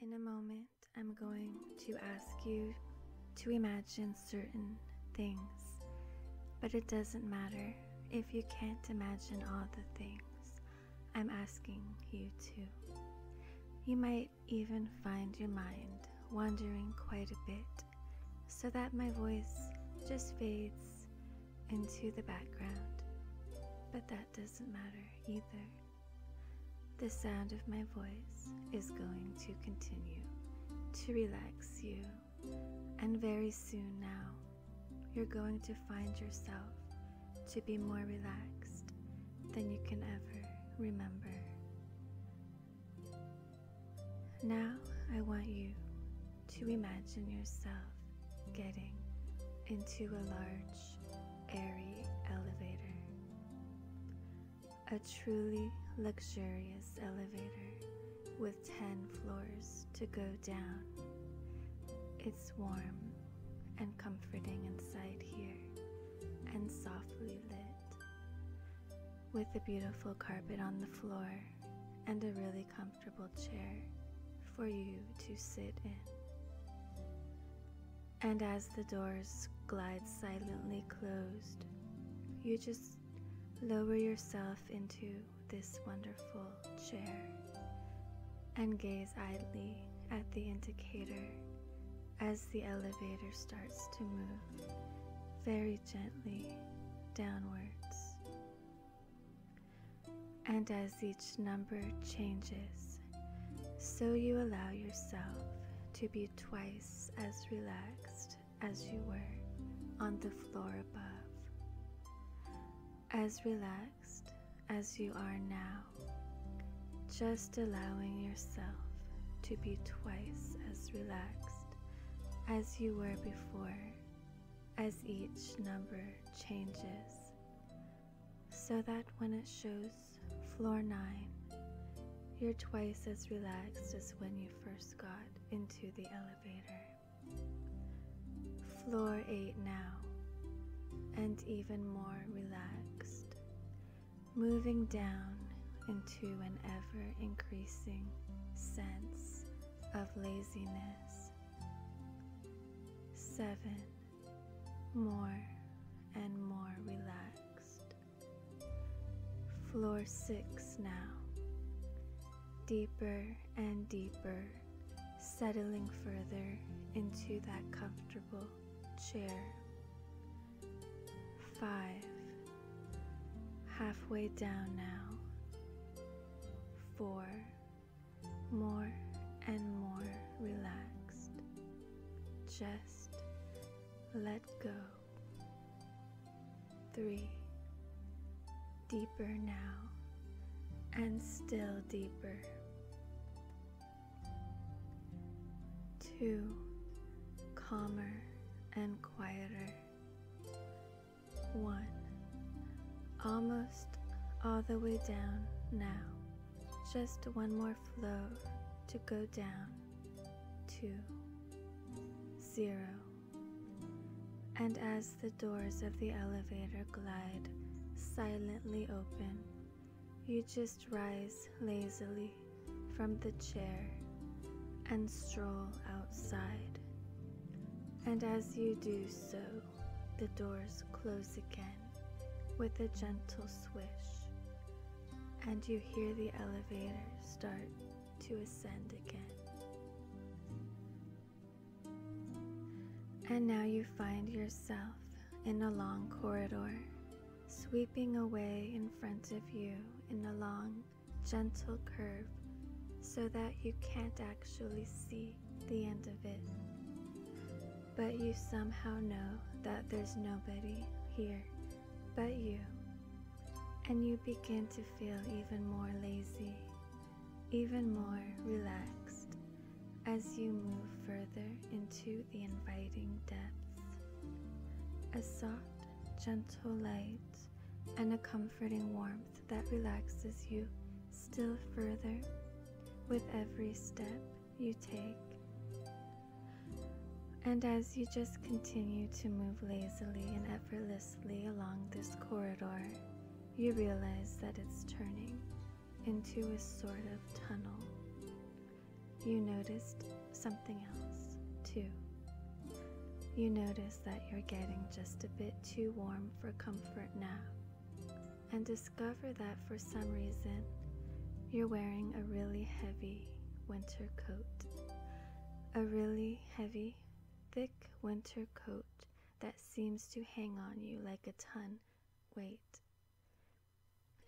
In a moment, I'm going to ask you to imagine certain things, but it doesn't matter if you can't imagine all the things I'm asking you to. You might even find your mind wandering quite a bit so that my voice just fades into the background, but that doesn't matter either. The sound of my voice is going to continue to relax you, and very soon now, you're going to find yourself to be more relaxed than you can ever remember. Now, I want you to imagine yourself getting into a large airy elevator. A truly luxurious elevator with 10 floors to go down. It's warm and comforting inside here and softly lit. With a beautiful carpet on the floor and a really comfortable chair for you to sit in. And as the doors glide silently closed, you just lower yourself into this wonderful chair and gaze idly at the indicator as the elevator starts to move very gently downwards. And as each number changes, so you allow yourself to be twice as relaxed as you were on the floor above. As relaxed as you are now, just allowing yourself to be twice as relaxed as you were before as each number changes so that when it shows floor 9, you're twice as relaxed as when you first got into the elevator. Floor 8 now, and even more relaxed, moving down into an ever increasing sense of laziness. 7 more and more relaxed. Floor six now, deeper and deeper, settling further into that comfortable chair. Five, halfway down now. Four, more and more relaxed. Just let go. Three. Deeper now and still deeper. Two. Calmer and quieter. One Almost all the way down now. Just one more floor to go down to zero. And as the doors of the elevator glide silently open, you just rise lazily from the chair and stroll outside. And as you do so, the doors close again with a gentle swish, and you hear the elevator start to ascend again. And now you find yourself in a long corridor, sweeping away in front of you in a long, gentle curve so that you can't actually see the end of it. But you somehow know that there's nobody here but you. And you begin to feel even more lazy, even more relaxed as you move further into the inviting depths. A soft, gentle light and a comforting warmth that relaxes you still further with every step you take. And as you just continue to move lazily and effortlessly along this corridor, you realize that it's turning into a sort of tunnel. You noticed something else too. You notice that you're getting just a bit too warm for comfort now and discover that for some reason you're wearing a really heavy winter coat. A really heavy, thick winter coat that seems to hang on you like a ton weight.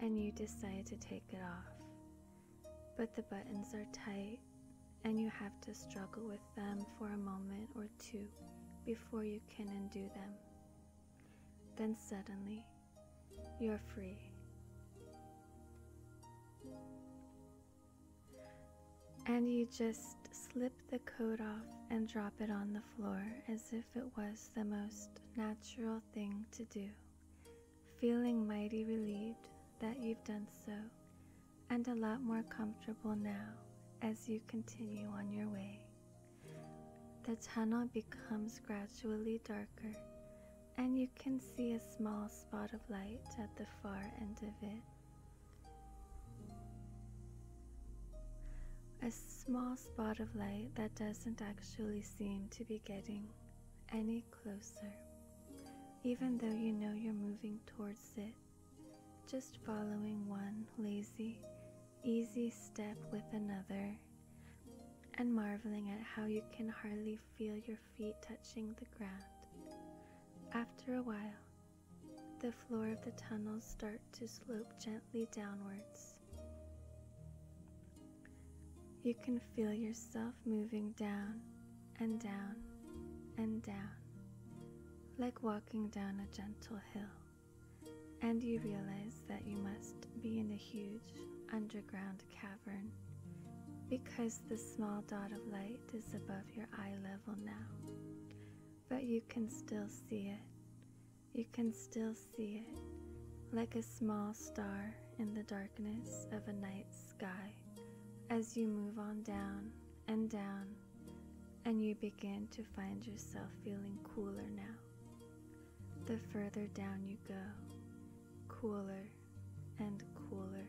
And you decide to take it off. But the buttons are tight and you have to struggle with them for a moment or two before you can undo them. Then suddenly, you're free. And you just slip the coat off and drop it on the floor as if it was the most natural thing to do, feeling mighty relieved that you've done so and a lot more comfortable now as you continue on your way. The tunnel becomes gradually darker, and you can see a small spot of light at the far end of it. A small spot of light that doesn't actually seem to be getting any closer, even though you know you're moving towards it just following one lazy, easy step with another, and marveling at how you can hardly feel your feet touching the ground. After a while, the floor of the tunnels start to slope gently downwards. You can feel yourself moving down and down and down, like walking down a gentle hill, and you realize that you must be in a huge underground cavern because the small dot of light is above your eye level now. But you can still see it. You can still see it, like a small star in the darkness of a night sky, as you move on down and down, and you begin to find yourself feeling cooler now. The further down you go, cooler and cooler,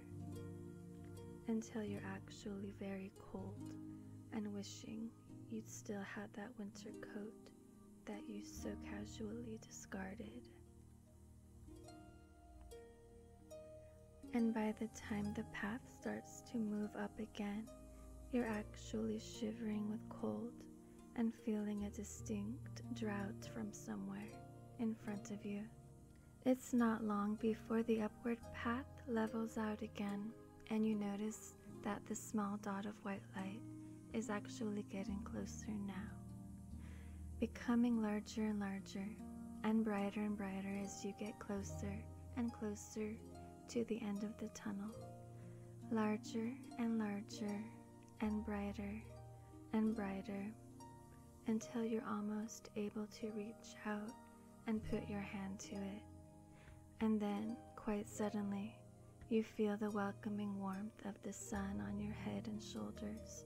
until you're actually very cold and wishing you'd still had that winter coat that you so casually discarded and by the time the path starts to move up again, you're actually shivering with cold and feeling a distinct drought from somewhere in front of you. It's not long before the upward path levels out again, and you notice that the small dot of white light is actually getting closer now, becoming larger and larger and brighter and brighter as you get closer and closer to the end of the tunnel, larger and larger and brighter and brighter until you're almost able to reach out and put your hand to it. And then, quite suddenly, you feel the welcoming warmth of the sun on your head and shoulders,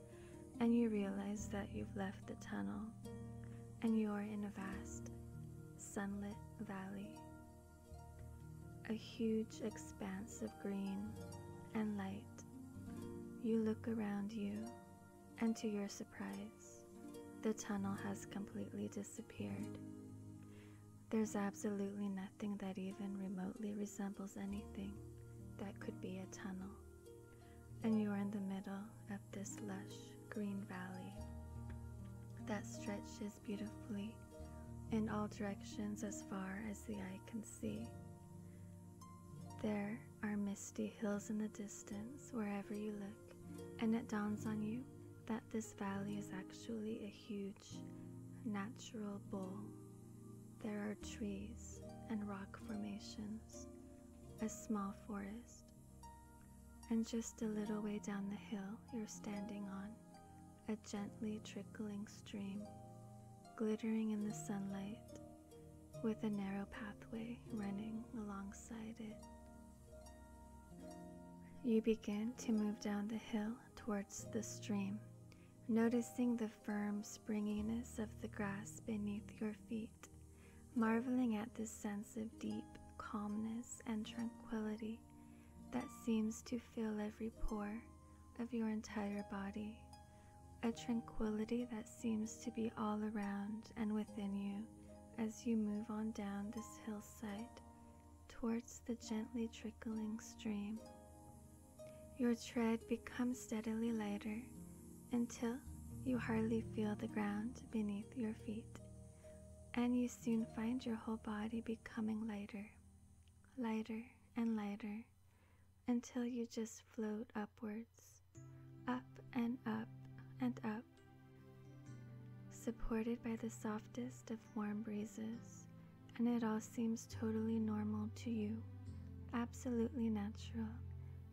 and you realize that you've left the tunnel and you are in a vast, sunlit valley. A huge expanse of green and light. You look around you, and to your surprise, the tunnel has completely disappeared. There's absolutely nothing that even remotely resembles anything that could be a tunnel and you are in the middle of this lush green valley that stretches beautifully in all directions as far as the eye can see. There are misty hills in the distance wherever you look, and it dawns on you that this valley is actually a huge natural bowl. There are trees and rock formations, a small forest, and just a little way down the hill you're standing on, a gently trickling stream, glittering in the sunlight, with a narrow pathway running alongside it. You begin to move down the hill towards the stream, noticing the firm springiness of the grass beneath your feet marveling at this sense of deep calmness and tranquility that seems to fill every pore of your entire body, a tranquility that seems to be all around and within you as you move on down this hillside towards the gently trickling stream. Your tread becomes steadily lighter until you hardly feel the ground beneath your feet, and you soon find your whole body becoming lighter, lighter and lighter, until you just float upwards, up and up and up, supported by the softest of warm breezes, and it all seems totally normal to you, absolutely natural,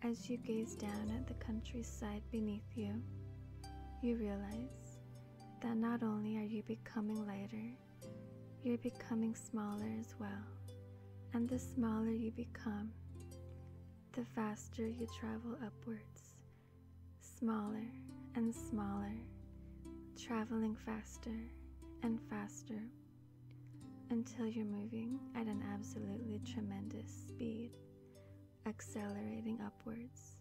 as you gaze down at the countryside beneath you, you realize that not only are you becoming lighter, you're becoming smaller as well. And the smaller you become, the faster you travel upwards, smaller and smaller, traveling faster and faster until you're moving at an absolutely tremendous speed, accelerating upwards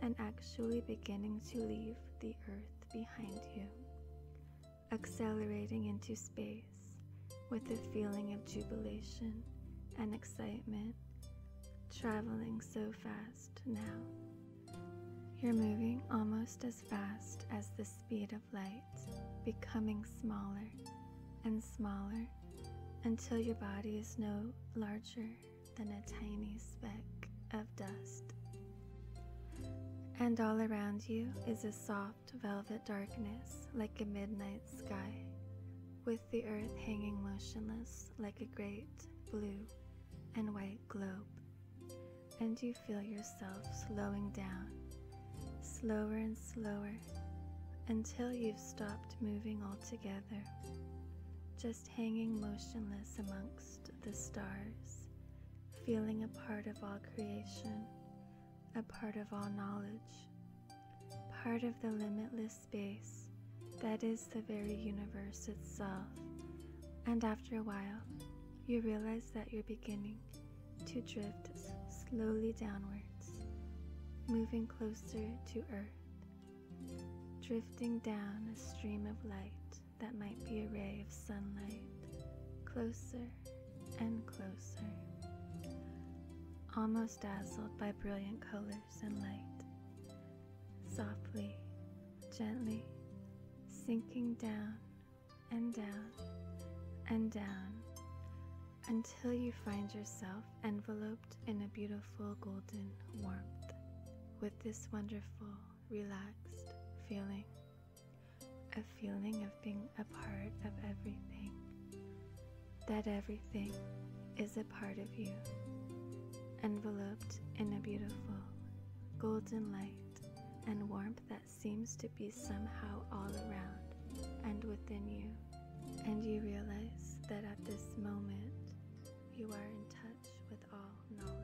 and actually beginning to leave the earth behind you, accelerating into space with a feeling of jubilation and excitement, traveling so fast now. You're moving almost as fast as the speed of light becoming smaller and smaller until your body is no larger than a tiny speck of dust. And all around you is a soft velvet darkness like a midnight sky, with the earth hanging motionless like a great blue and white globe. And you feel yourself slowing down, slower and slower until you've stopped moving altogether, just hanging motionless amongst the stars, feeling a part of all creation, a part of all knowledge, part of the limitless space that is the very universe itself. And after a while, you realize that you're beginning to drift slowly downwards, moving closer to Earth, drifting down a stream of light that might be a ray of sunlight, closer and closer, almost dazzled by brilliant colors and light, softly, gently sinking down and down and down until you find yourself enveloped in a beautiful golden warmth with this wonderful, relaxed feeling. A feeling of being a part of everything, that everything is a part of you, enveloped in a beautiful, golden light and warmth that seems to be somehow all around and within you, and you realize that at this moment you are in touch with all knowledge.